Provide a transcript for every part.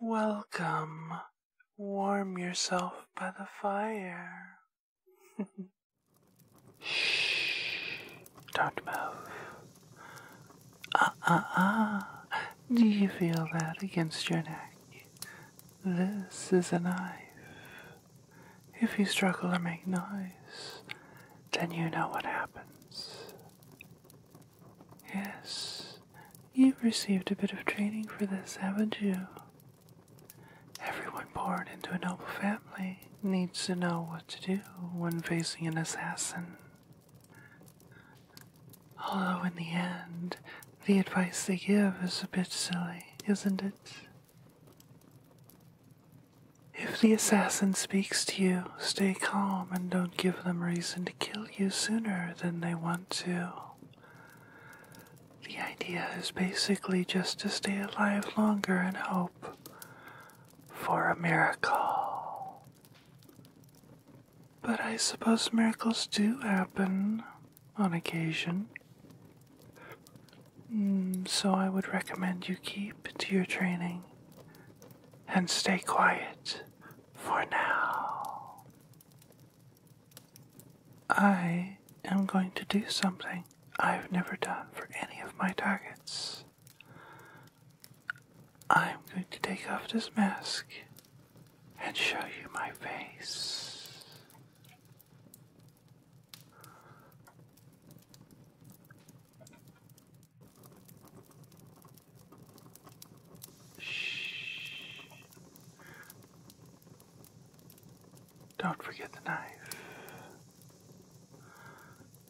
Welcome. Warm yourself by the fire. Shh. Don't move. Ah, ah, ah. Do you feel that against your neck? This is a knife. If you struggle or make noise, then you know what happens. Yes, you've received a bit of training for this, haven't you? Everyone born into a noble family needs to know what to do when facing an assassin. Although, in the end, the advice they give is a bit silly, isn't it? If the assassin speaks to you, stay calm and don't give them reason kill you sooner than they want to. The idea is basically just to stay alive longer and hope for a miracle. But I suppose miracles do happen on occasion. Mm, so I would recommend you keep to your training and stay quiet for now. I am going to do something I've never done for any of my targets. I'm going to take off this mask and show you my face. Shh. Don't forget the knife.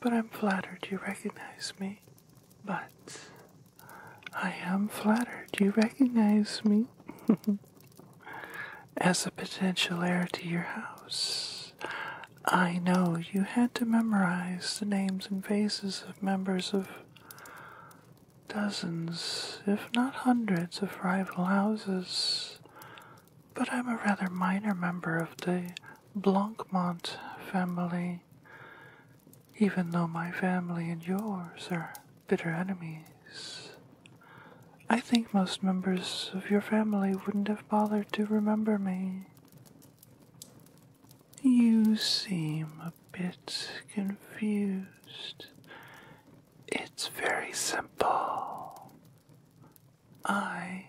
But I'm flattered you recognize me. But I am flattered you recognize me as a potential heir to your house. I know you had to memorize the names and faces of members of dozens, if not hundreds, of rival houses, but I'm a rather minor member of the Blancmont family, even though my family and yours are bitter enemies. I think most members of your family wouldn't have bothered to remember me. You seem a bit confused. It's very simple. I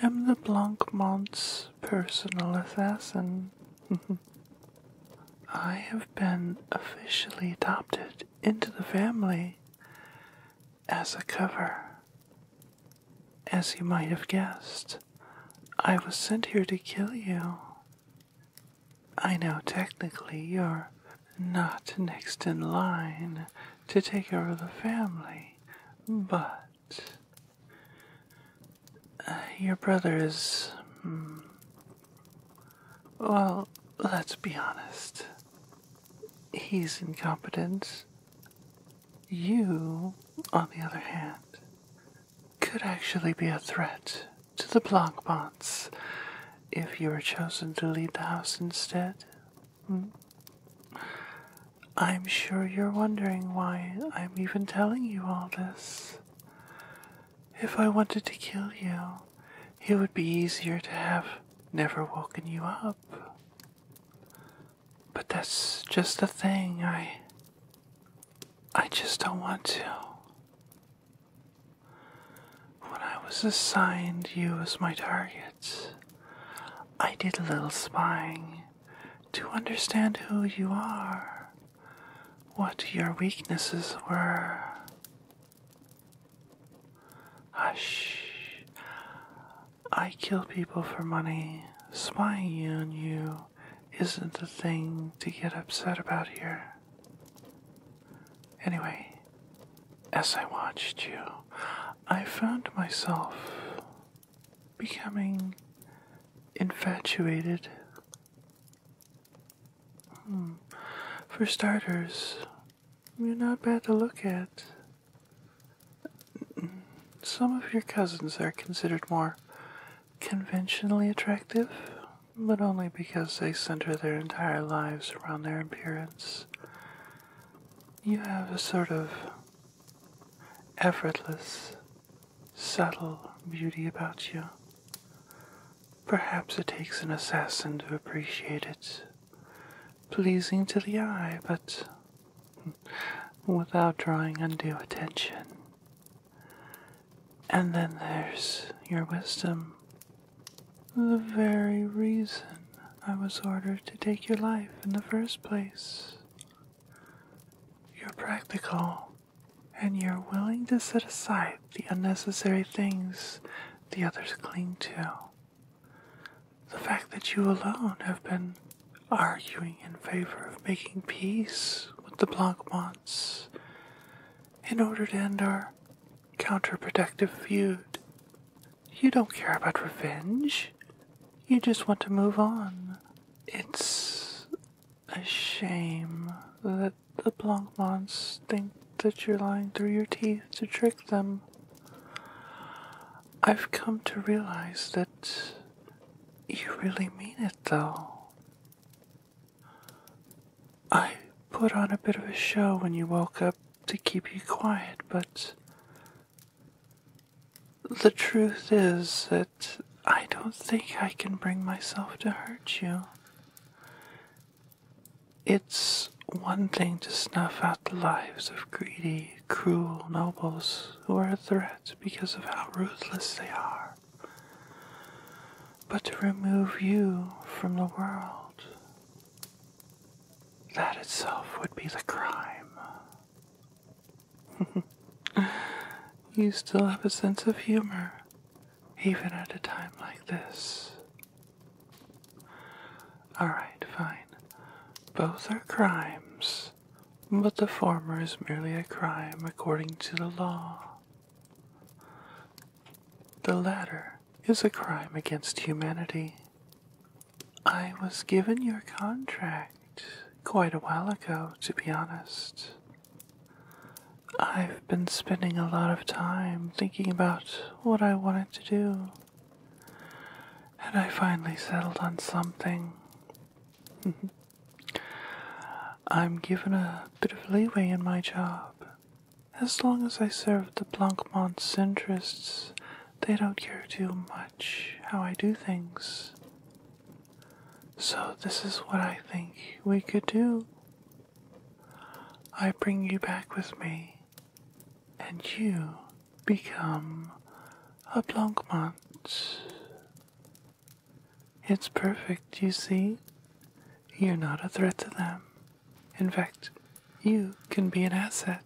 am the Blancmont's personal assassin. I have been officially adopted into the family as a cover, as you might have guessed. I was sent here to kill you. I know technically you're not next in line to take over the family, but uh, your brother is. Hmm, well, let's be honest. He's incompetent. You, on the other hand, could actually be a threat to the Blancbots if you were chosen to lead the house instead. Hmm. I'm sure you're wondering why I'm even telling you all this. If I wanted to kill you, it would be easier to have never woken you up. But that's just the thing. I. I just don't want to. When I was assigned you as my target, I did a little spying to understand who you are, what your weaknesses were. Hush. I kill people for money, spying on you isn't a thing to get upset about here. Anyway, as I watched you, I found myself becoming infatuated. Hmm. For starters, you're not bad to look at. Some of your cousins are considered more conventionally attractive, but only because they center their entire lives around their appearance. You have a sort of effortless, subtle beauty about you. Perhaps it takes an assassin to appreciate it. Pleasing to the eye, but without drawing undue attention. And then there's your wisdom. The very reason I was ordered to take your life in the first place. You're practical, and you're willing to set aside the unnecessary things the others cling to. The fact that you alone have been arguing in favor of making peace with the Blancmonts in order to end our counterproductive feud. You don't care about revenge. You just want to move on. It's a shame that the Blancmonts think that you're lying through your teeth to trick them. I've come to realize that you really mean it though. I put on a bit of a show when you woke up to keep you quiet, but the truth is that I don't think I can bring myself to hurt you. It's one thing to snuff out the lives of greedy, cruel nobles who are a threat because of how ruthless they are, but to remove you from the world. That itself would be the crime. you still have a sense of humor, even at a time like this. Alright, fine. Both are crimes but the former is merely a crime according to the law. The latter is a crime against humanity. I was given your contract quite a while ago, to be honest. I've been spending a lot of time thinking about what I wanted to do, and I finally settled on something Mm-hmm. I'm given a bit of leeway in my job. As long as I serve the Blancmont's interests, they don't care too much how I do things. So, this is what I think we could do. I bring you back with me, and you become a Blancmont. It's perfect, you see. You're not a threat to them. In fact, you can be an asset.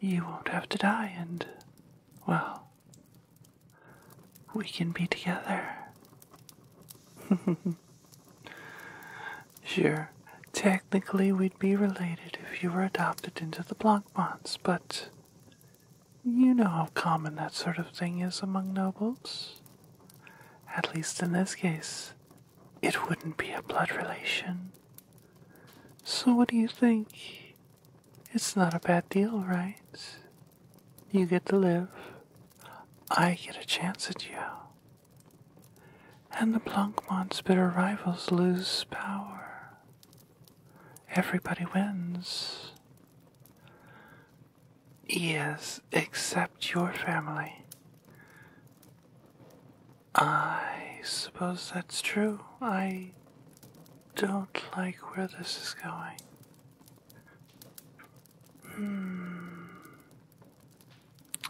You won't have to die, and, well, we can be together. sure, technically we'd be related if you were adopted into the Blanc Pokemons, but you know how common that sort of thing is among nobles. At least in this case, it wouldn't be a blood relation. So, what do you think? It's not a bad deal, right? You get to live. I get a chance at you. And the Blancmont's bitter rivals lose power. Everybody wins. Yes, except your family. I suppose that's true. I don't like where this is going. Hmm.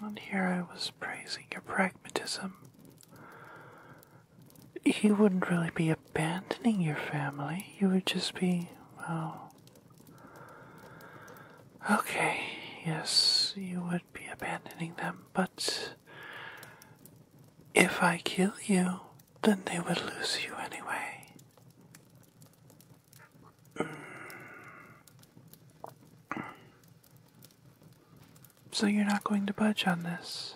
And here I was praising your pragmatism you wouldn't really be abandoning your family. You would just be, well. Okay, yes, you would be abandoning them, but. If I kill you, then they would lose you anyway. So you're not going to budge on this.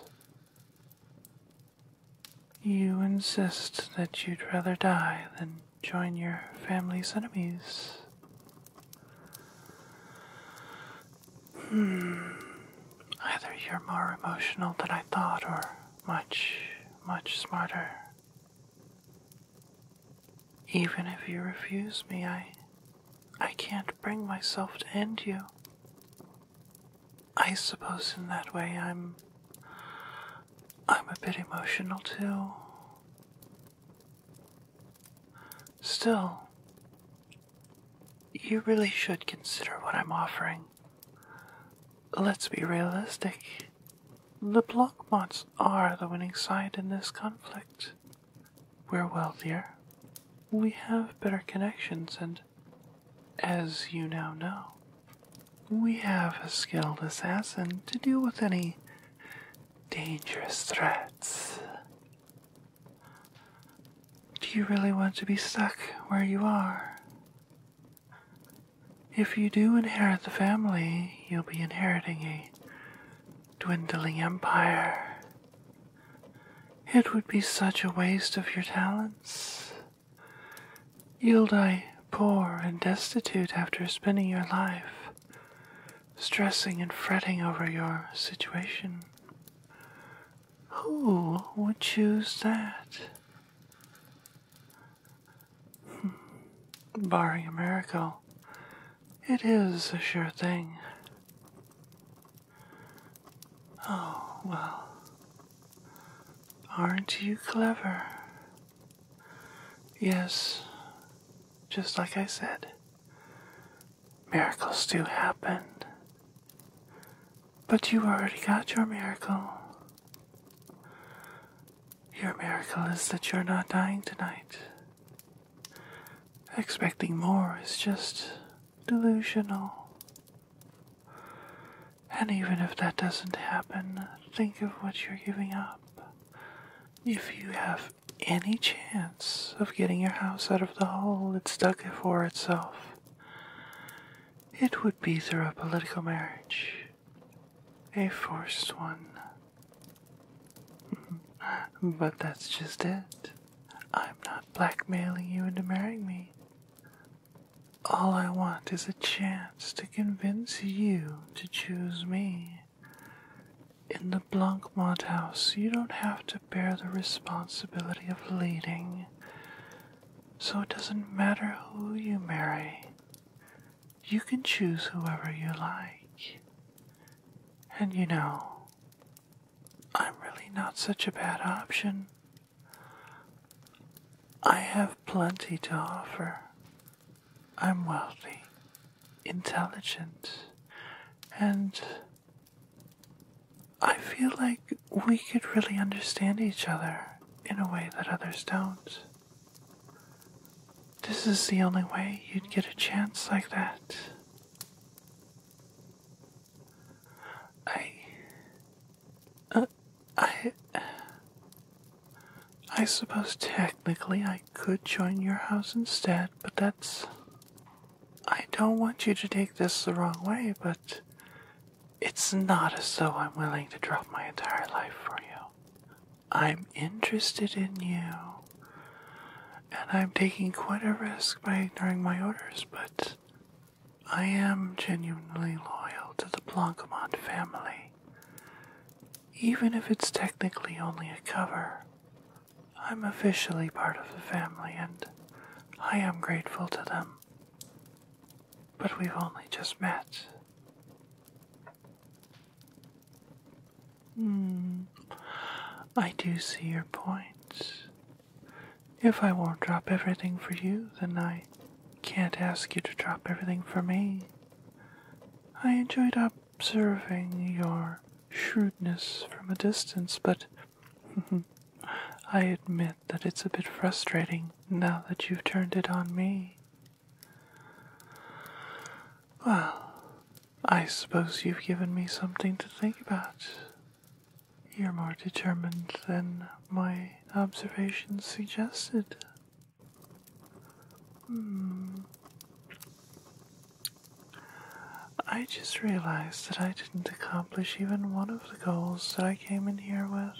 You insist that you'd rather die than join your family's enemies. Hmm. Either you're more emotional than I thought, or much, much smarter. Even if you refuse me, I I can't bring myself to end you. I suppose in that way I'm. I'm a bit emotional too. Still, you really should consider what I'm offering. Let's be realistic. The Blancmands are the winning side in this conflict. We're wealthier. We have better connections, and as you now know, we have a skilled assassin to deal with any dangerous threats. Do you really want to be stuck where you are? If you do inherit the family, you'll be inheriting a dwindling empire. It would be such a waste of your talents. You'll die poor and destitute after spending your life stressing and fretting over your situation. Who would choose that? Hmm. Barring a miracle, it is a sure thing. Oh, well. Aren't you clever? Yes, just like I said, miracles do happen. But you already got your miracle. Your miracle is that you're not dying tonight. Expecting more is just delusional. And even if that doesn't happen, think of what you're giving up. If you have any chance of getting your house out of the hole it's dug for itself, it would be through a political marriage, a forced one. Mm-hmm. But that's just it. I'm not blackmailing you into marrying me. All I want is a chance to convince you to choose me. In the Blancmont house, you don't have to bear the responsibility of leading, so it doesn't matter who you marry. You can choose whoever you like. And you know, I'm really not such a bad option. I have plenty to offer. I'm wealthy, intelligent, and I feel like we could really understand each other in a way that others don't. This is the only way you'd get a chance like that. I. Uh, I. I suppose technically I could join your house instead, but that's. I don't want you to take this the wrong way, but it's not as though I'm willing to drop my entire life for you. I'm interested in you. And I'm taking quite a risk by ignoring my orders, but I am genuinely loyal to the Blancmont family. Even if it's technically only a cover, I'm officially part of the family and I am grateful to them. But we've only just met. Mm, I do see your points. If I won't drop everything for you, then I can't ask you to drop everything for me. I enjoyed observing your shrewdness from a distance, but I admit that it's a bit frustrating now that you've turned it on me. Well, I suppose you've given me something to think about. You're more determined than my observations suggested. Hmm. I just realized that I didn't accomplish even one of the goals that I came in here with.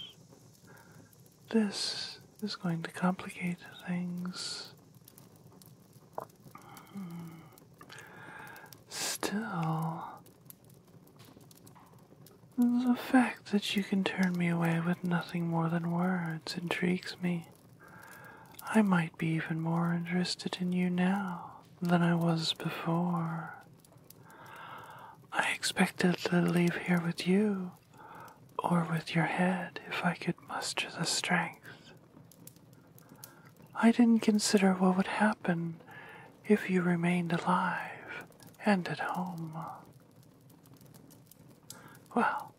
This is going to complicate things. Still, the fact that you can turn me away with nothing more than words intrigues me. I might be even more interested in you now than I was before. I expected to leave here with you, or with your head, if I could muster the strength. I didn't consider what would happen if you remained alive and at home. Well,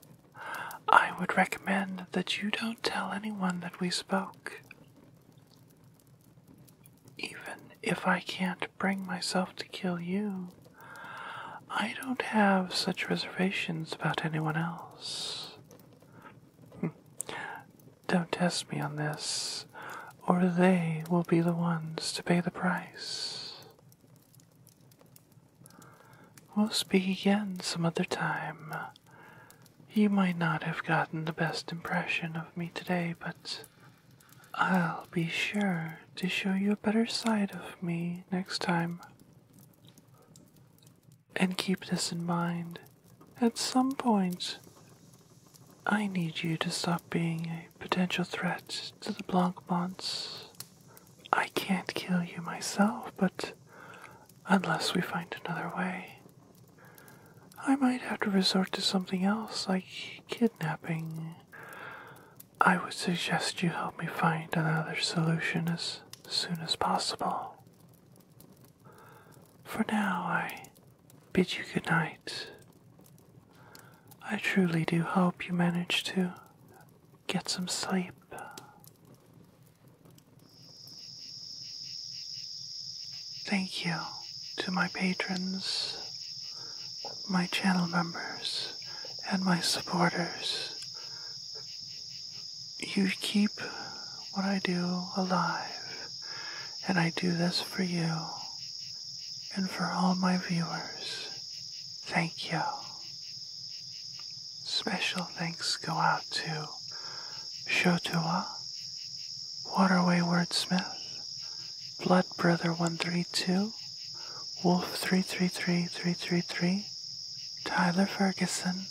I would recommend that you don't tell anyone that we spoke. Even if I can't bring myself to kill you, I don't have such reservations about anyone else. Don't test me on this, or they will be the ones to pay the price. We'll speak again some other time. You might not have gotten the best impression of me today, but I'll be sure to show you a better side of me next time. And keep this in mind. At some point, I need you to stop being a potential threat to the Blancmonts. I can't kill you myself, but unless we find another way, I might have to resort to something else like kidnapping. I would suggest you help me find another solution as soon as possible. For now, I bid you good night. I truly do hope you manage to get some sleep. Thank you to my patrons, my channel members, and my supporters you keep what I do alive, and I do this for you and for all my viewers. Thank you. Special thanks go out to Shotua, Waterway Wordsmith, Blood Brother 132, Wolf 333333, Tyler Ferguson,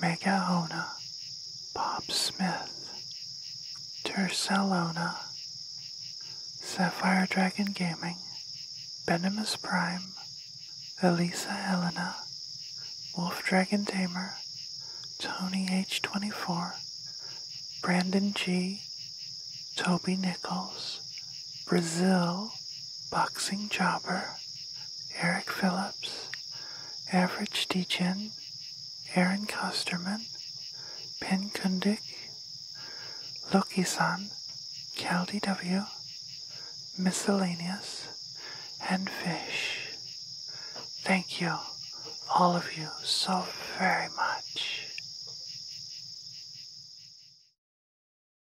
Mega Bob Smith, Tercellona, Sapphire Dragon Gaming, Benimus Prime, Elisa Helena, Wolf Dragon Tamer, Tony H24, Brandon G, Toby Nichols, Brazil, Boxing Jobber, Eric Phillips, Average Deacon, Aaron Costerman, Pen Kundik, Loki-san, Caldi W, Miscellaneous, and Fish. Thank you, all of you, so very much.